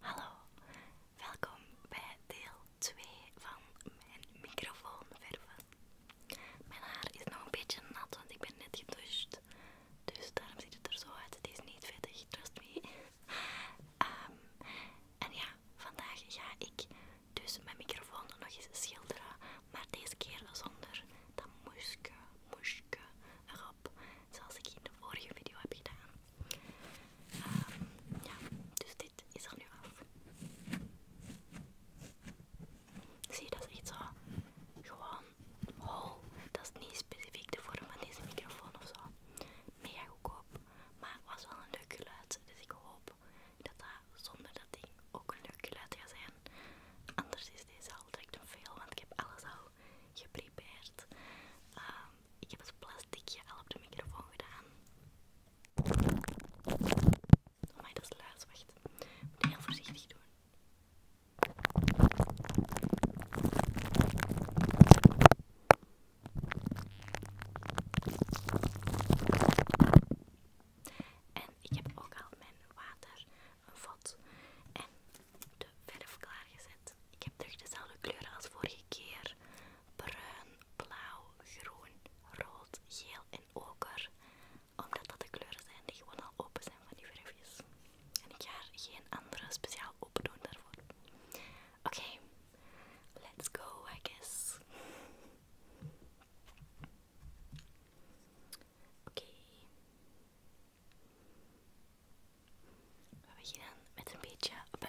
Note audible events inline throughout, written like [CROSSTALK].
Hallo, welkom bij deel 2 van mijn microfoon verven. Mijn haar is nog een beetje nat, want ik ben net gedoucht. Dus daarom ziet het er zo uit. Het is niet vettig, trust me. Ehm, en ja, vandaag ga ik dus mijn microfoon nog eens schilderen. Maar deze keer zonder dat moeske, moesje erop. Zoals ik in de vorige video heb gedaan. Ehm, ja, dus dit is er nu af. Zie, je dat is zo. Gewoon Oh, dat is niet specifiek de vorm van deze microfoon of zo. Mega op, maar het was wel een leuk geluid. Dus ik hoop dat dat zonder dat ding ook een leuk geluid gaat zijn. Anders is deze al direct een veel, want ik heb alles al geprepareerd. Ehm, ik heb het plasticje al op de microfoon gedaan. Oh maar dat is luid, wacht. Moet je heel voorzichtig doen. En ik heb ook al mijn water, een vod en de verf klaargezet. Ik heb terug dezelfde kleuren als vorige keer. Bruin, blauw, groen, rood, geel en oker. Omdat dat de kleuren zijn die gewoon al open zijn van die verfjes. En ik ga geen andere speciaal open daarvoor. Oké, let's go, I guess. Oké. We beginnen met een beetje blauw.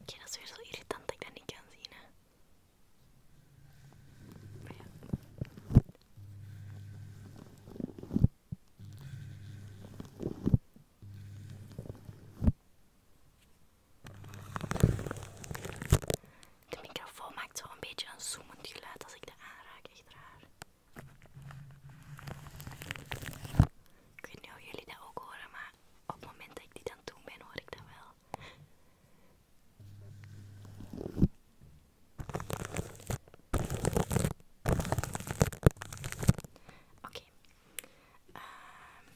Oké, ja, dat weer zo irritant dat ik dat niet kan zien, De microfoon maakt wel een beetje een zoemend geluid als ik de aanraak, echt raar. Ik weet niet of jullie dat ook horen, maar op het moment dat ik die dan toe doen ben, hoor ik dat wel. Oké. Ehm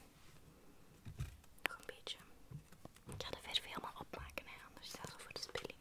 nog een beetje. Ik ga de verf helemaal opmaken, anders staat het voor de spilling.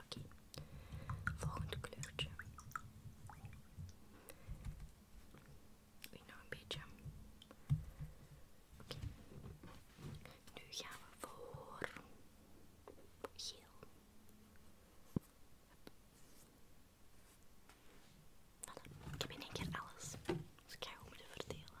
Oké, volgende kleurtje. Doe nou een beetje. Oké, nu gaan we voor geel. Voilà. Ik heb in één keer alles. Dus ik ga hem moeten verdelen.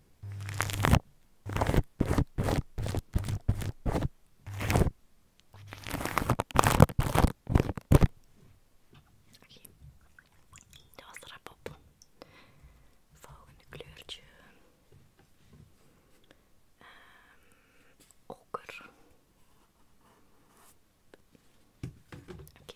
oké, Dat was er op. Volgende kleurtje. Um, ehm, oker. Oké.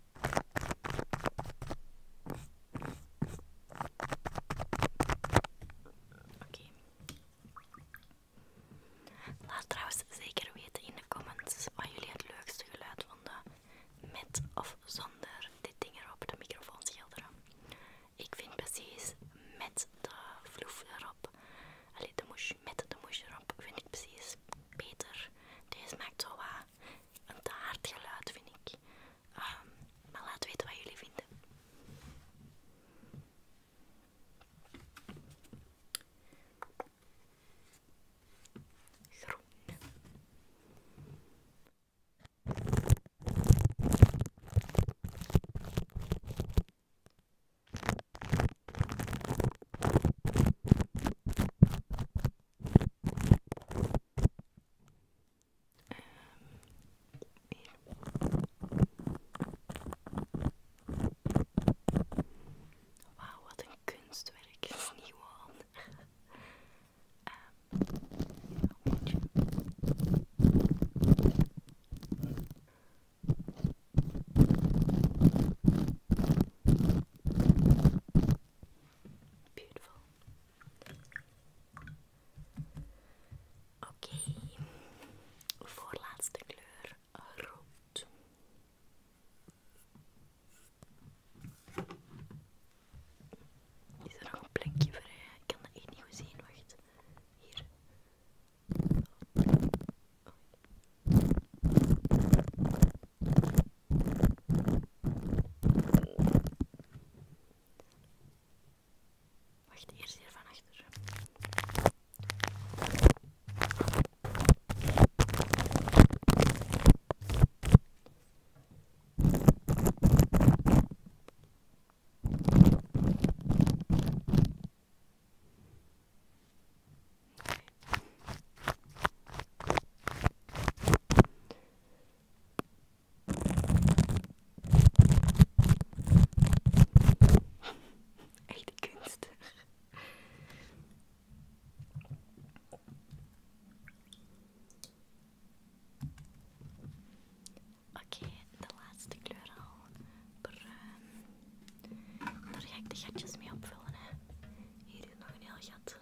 Oké. Laat trouwens zeker weten in de comments wat jullie het leukste geluid vonden. Met of zonder dit ding erop, de microfoon schilderen. Ik vind precies met de vloef erop, alleen de moes, met de moes erop, vind ik precies beter. Deze maakt zo wat een te hard geluid, vind ik. Ah, maar laat weten wat jullie vinden. Ehm, hier. Wauw, wat een kunstwerk. Nieuw aan. Um, Beautiful. Oké, voorlaatste kleur rood. Is er nog een plekje vrij? Eh, ik kan er echt niet goed zien, wacht. Hier. Wacht, eerst hier van achter. Echt kunstig. Oké, de laatste kleur al. Bruin. Daar ga ik de gatjes mee opvullen. Hè. Hier is nog een heel gat.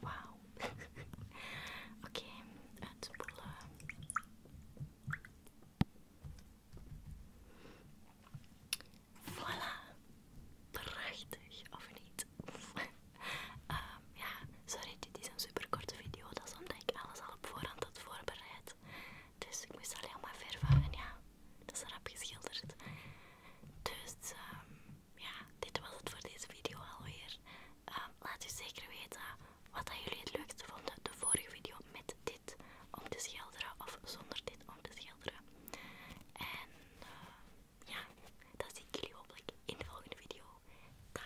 Wauw. [LAUGHS] Oké, uitspoelen. voila. Prachtig, of niet? [LAUGHS] Ehm, ja, sorry, dit is een superkorte video. Dat is omdat ik alles al op voorhand had voorbereid. Dus ik moest alleen maar vervangen, ja. Dat is heb geschilderd. Dus ehm, ja, dit was het voor deze video alweer. Ehm, laat u zeker weten wat jullie het leukste vonden. De vorige video met dit om te schilderen of zonder dit om te schilderen. En eh, ja, dan zie ik jullie hopelijk in de volgende video. Dag!